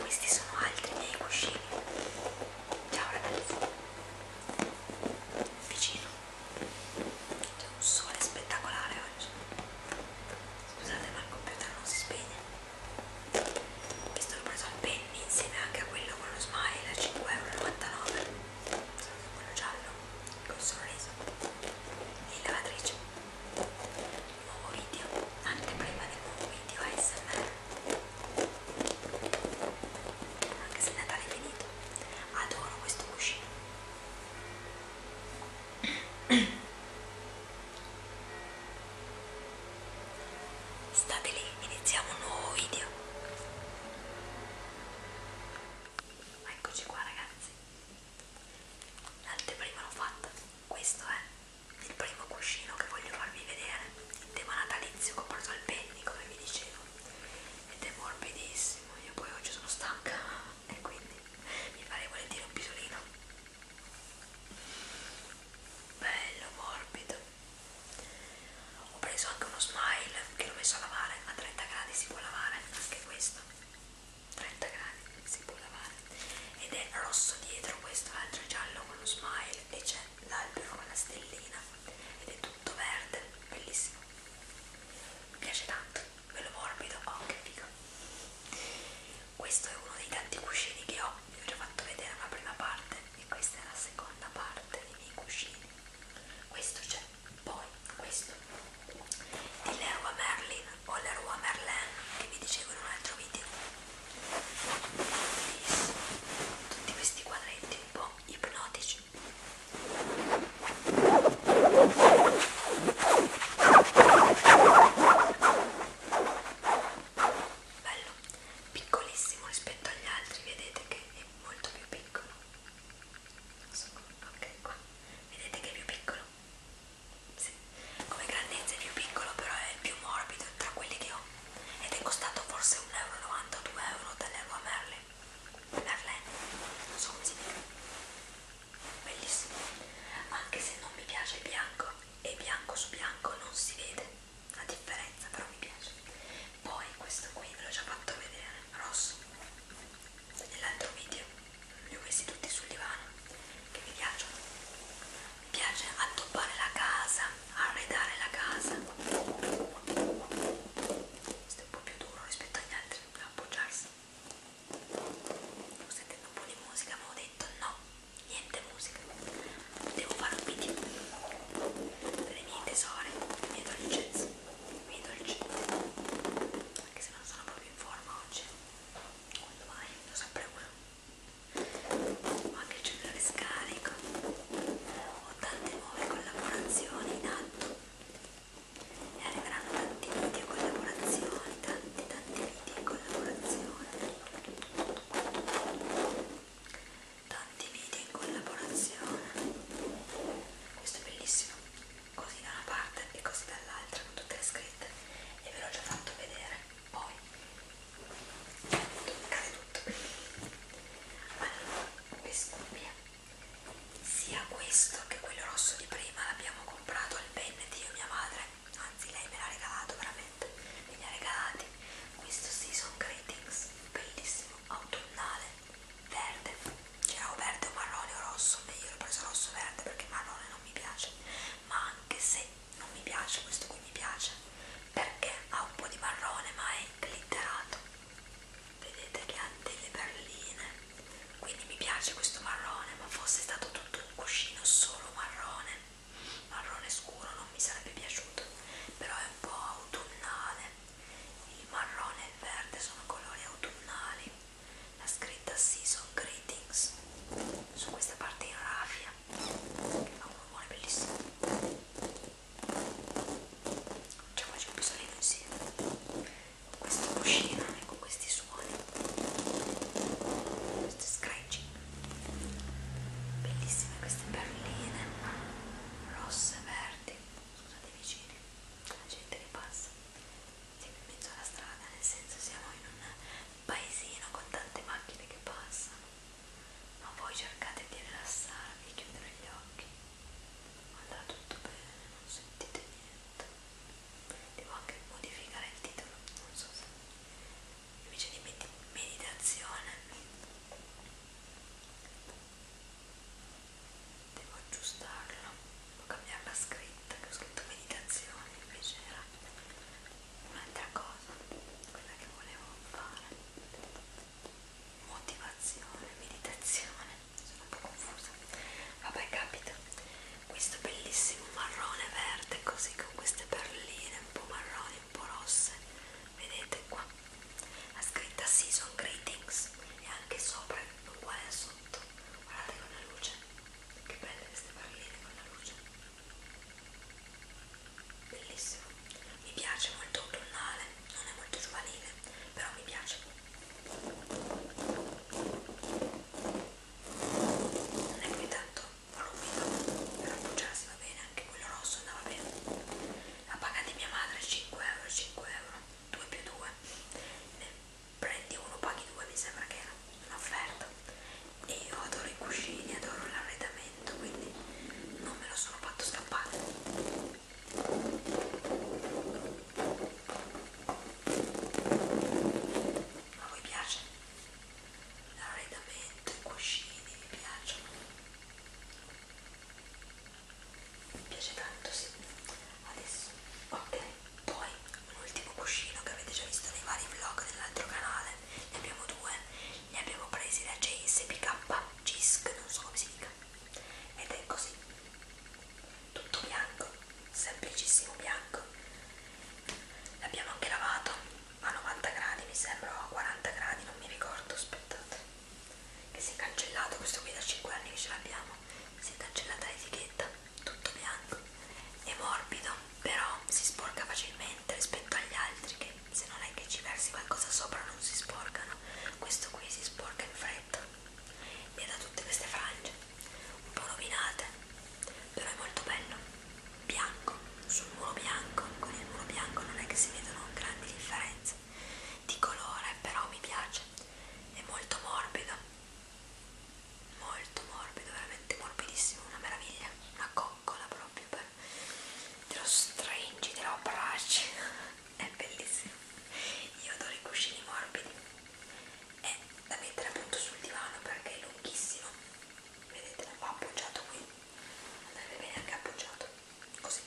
Questi sono altri miei cuscini. Ciao ragazzi. Vicino. C'è un sole spettacolare oggi. Scusate ma il computer non si spegne. Questo l'ho preso al penny insieme anche a quello con lo smile a 5,99€. Quello giallo, col sorriso. E lavatrice nuovo video, anche prima del nuovo video ASMR anche se Natale è finito adoro questo cuscino state lì, iniziamo un nuovo video eccoci qua ragazzi l'anteprima l'ho fatta questo è il primo cuscino che voglio farvi vedere il tema natalizio che ho preso al penny come vi dicevo ed è morbidissimo io poi oggi sono stanca e quindi mi farei volentieri un pisolino bello morbido ho preso anche uno smile che l'ho messo a lavare a 30 gradi si può lavare anche questo 30 gradi si può lavare ed è rosso dietro questo l'altro è giallo con lo smile e c'è l'albero con la stellina ed è tutto verde bellissimo mi piace tanto bello morbido oh che figo questo è uno dei tanti cuscini che ho vi ho già fatto vedere la prima parte e questa è la seconda parte dei miei cuscini questo c'è poi questo di Leroy Merlin poi la Rua Merlin che vi dicevo in un altro video tutti questi quadretti un po' ipnotici bello piccolissimo rispetto agli altri vedete che è molto più piccolo non so, ok qua vedete che è più piccolo sì. come grandezza è più piccolo però è il più morbido tra quelli che ho ed è costato forse 1,92 euro dall'Erba Merlin Merlin, non so come si dica bellissimo anche se non mi piace il bianco e bianco su bianco non si vede la differenza però mi piace poi questo qui ve l'ho già fatto vedere rosso nell'altro video li ho messi tutti sul divano che mi piacciono mi piace addobbare la casa arredare la casa questo è un po' più duro rispetto agli altri a appoggiarsi sto sentendo un po' di musica ma ho detto no niente musica devo fare un video per i miei tesori le mie dolcezze i miei dolcetti anche se non sono proprio in forma oggi quando mai, lo sapremo ho anche il cellulare scarico ho tante nuove collaborazioni in atto e arriveranno tanti video collaborazioni tanti tanti video in collaborazione tanti video in collaborazione questo è bellissimo così da una parte e così dall'altra con tutte le scritte e ve l'ho già fatto vedere poi cade tutto allora Vescuvia sia questo che quello rosso di prima l'abbiamo comprato al Bennett io e mia madre anzi lei me l'ha regalato veramente me li ha regalati questo Season Greetings bellissimo autunnale verde c'era o verde o marrone o rosso meglio l'ho preso rosso verde perché marrone non mi piace ma anche se non mi piace, questo qui mi piace perché ha un po' di marrone ma è glitterato vedete che ha delle perline quindi mi piace questo marrone ma fosse stato tutto un cuscino solo marrone marrone scuro non mi sarebbe piaciuto però è un po' autunnale il marrone e il verde sono colori autunnali la scritta season greetings su questa parte in raffia ha ah, un rumore bellissimo cioè qua c'è un pisolino insieme con questa cuscina e con questi suoni questi scratching bellissime queste perline rosse verdi scusate i vicini la gente che passa siamo in mezzo alla strada nel senso siamo in un paesino con tante macchine che passano, ma voi cercate di rilassarvi e chiudere gli occhi. Andrà tutto bene, non sentite niente. Devo anche modificare il titolo, non so se invece di med meditazione devo aggiustarlo, devo cambiare la scritta che ho scritto meditazione invece era un'altra cosa quella che volevo fare motivazione meditazione sono un po' confusa vabbè capita questo bellissimo marrone verde così con queste perline un po' marroni un po' rosse vedete qua la scritta season greetings e anche sopra uguale a sotto guardate con la luce che belle queste perline con la luce bellissimo mi piace molto autunnale non è molto giovanile però mi piace non è poi tanto volumido per appoggiarsi va bene anche quello rosso andava bene la paga di mia madre 5 euro 5 euro 2 più 2 ne prendi uno paghi due mi sembra che era un'offerta e io adoro i cuscini, adoro l'arredamento, quindi non me lo sono fatto scappare. Ma vi piace? L'arredamento, i cuscini vi piacciono? Mi piace tanto, sì. Adesso, ok, poi l'ultimo cuscino che avete già visto nei vari vlog dell'altro canale ne abbiamo due ne abbiamo presi da JSPK Cisc, non so come si dica ed è così tutto bianco semplicissimo bianco l'abbiamo anche lavato a 90 gradi mi sembra o a 40 gradi non mi ricordo aspettate che si è cancellato questo qui da 5 anni che ce l'abbiamo si è cancellata l'etichetta tutto bianco è morbido però si sporca facilmente rispetto agli altri che se non è che ci versi qualcosa sopra non si sporcano questo qui si sporca in fretta e da tutte queste frange un po' rovinate però è molto bello bianco sul muro bianco con il muro bianco non è che si vedono grandi differenze di colore però mi piace è molto morbido molto morbido, veramente morbidissimo, una meraviglia, una coccola proprio per te lo stringi, te lo abbracci, è bellissimo. Io adoro i cuscini morbidi, è da mettere appunto sul divano perché è lunghissimo, vedete lo va appoggiato qui, andrebbe bene anche appoggiato, così,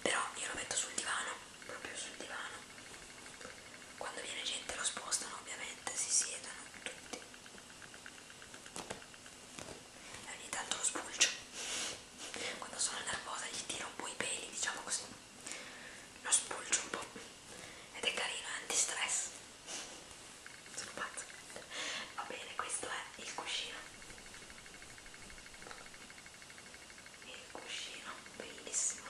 però io lo metto sul divano, proprio sul divano, quando viene gente lo spostano ovviamente, si siedono tutti e ogni tanto lo spulcio quando sono nervosa gli tiro un po' i peli diciamo così lo spulcio un po' ed è carino, è anti-stress sono pazza va bene, questo è il cuscino il cuscino, bellissimo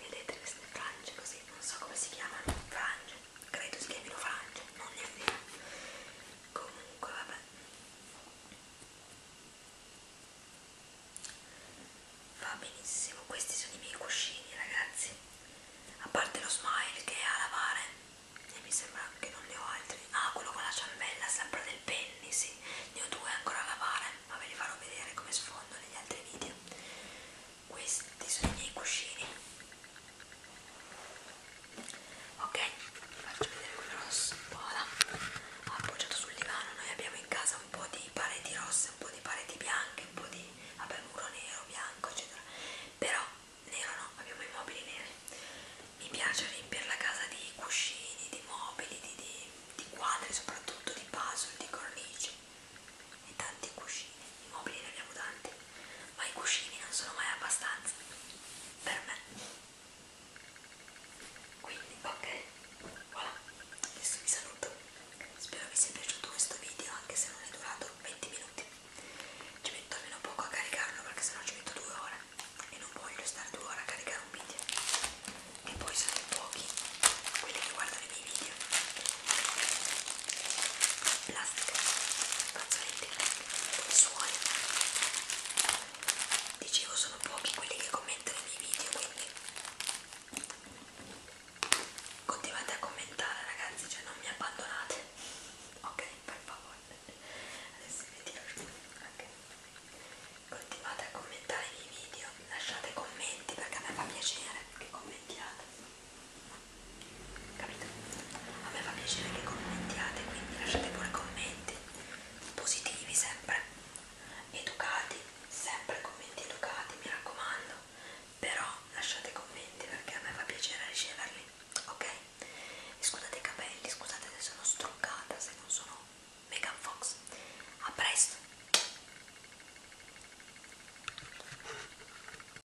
vedete queste frange così, non so come si chiamano frange credo si chiamino frange, non ne è vero. Comunque, vabbè. Va benissimo, questi sono i miei cuscini, ragazzi. A parte lo smile che è a lavare, e mi sembra che non ne ho altri. Ah, quello con la ciambella, sempre del penny, sì. Ne ho due ancora a lavare, ma ve li farò vedere come sfondo negli altri video questi sono i miei cuscini ok faccio vedere quello rosso voilà appoggiato sul divano noi abbiamo in casa un po' di pareti rosse un po' di pareti bianche un po' di vabbè muro nero bianco eccetera però nero no abbiamo i mobili neri mi piace riempire la casa di cuscini di mobili di, di, di quadri soprattutto di puzzle di cornici e tanti cuscini, i mobili rilevutanti, ma i cuscini non sono mai abbastanza per me. Quindi, ok, voilà, adesso vi saluto. Spero vi sia piaciuto questo video, anche se non è durato 20 minuti. Ci metto almeno poco a caricarlo perché sennò ci metto due ore e non voglio stare due ore a caricare un video. E poi sono pochi quelli che guardano i miei video plastica, fazzoletti, suoni. Dicevo sono pochi quelli che commentano i miei video, quindi continuate a commentare ragazzi, cioè non mi abbandonate. Ok, per favore. Adesso vi tiro giù. Okay. Continuate a commentare i miei video, lasciate commenti perché a me fa piacere che commentiate capito? A me fa piacere che commentiate, quindi lasciate pure commenti positivi sempre, educati, sempre commenti educati, mi raccomando, però lasciate commenti perché a me fa piacere riceverli, ok? Scusate i capelli, scusate se sono struccata, se non sono Megan Fox. A presto!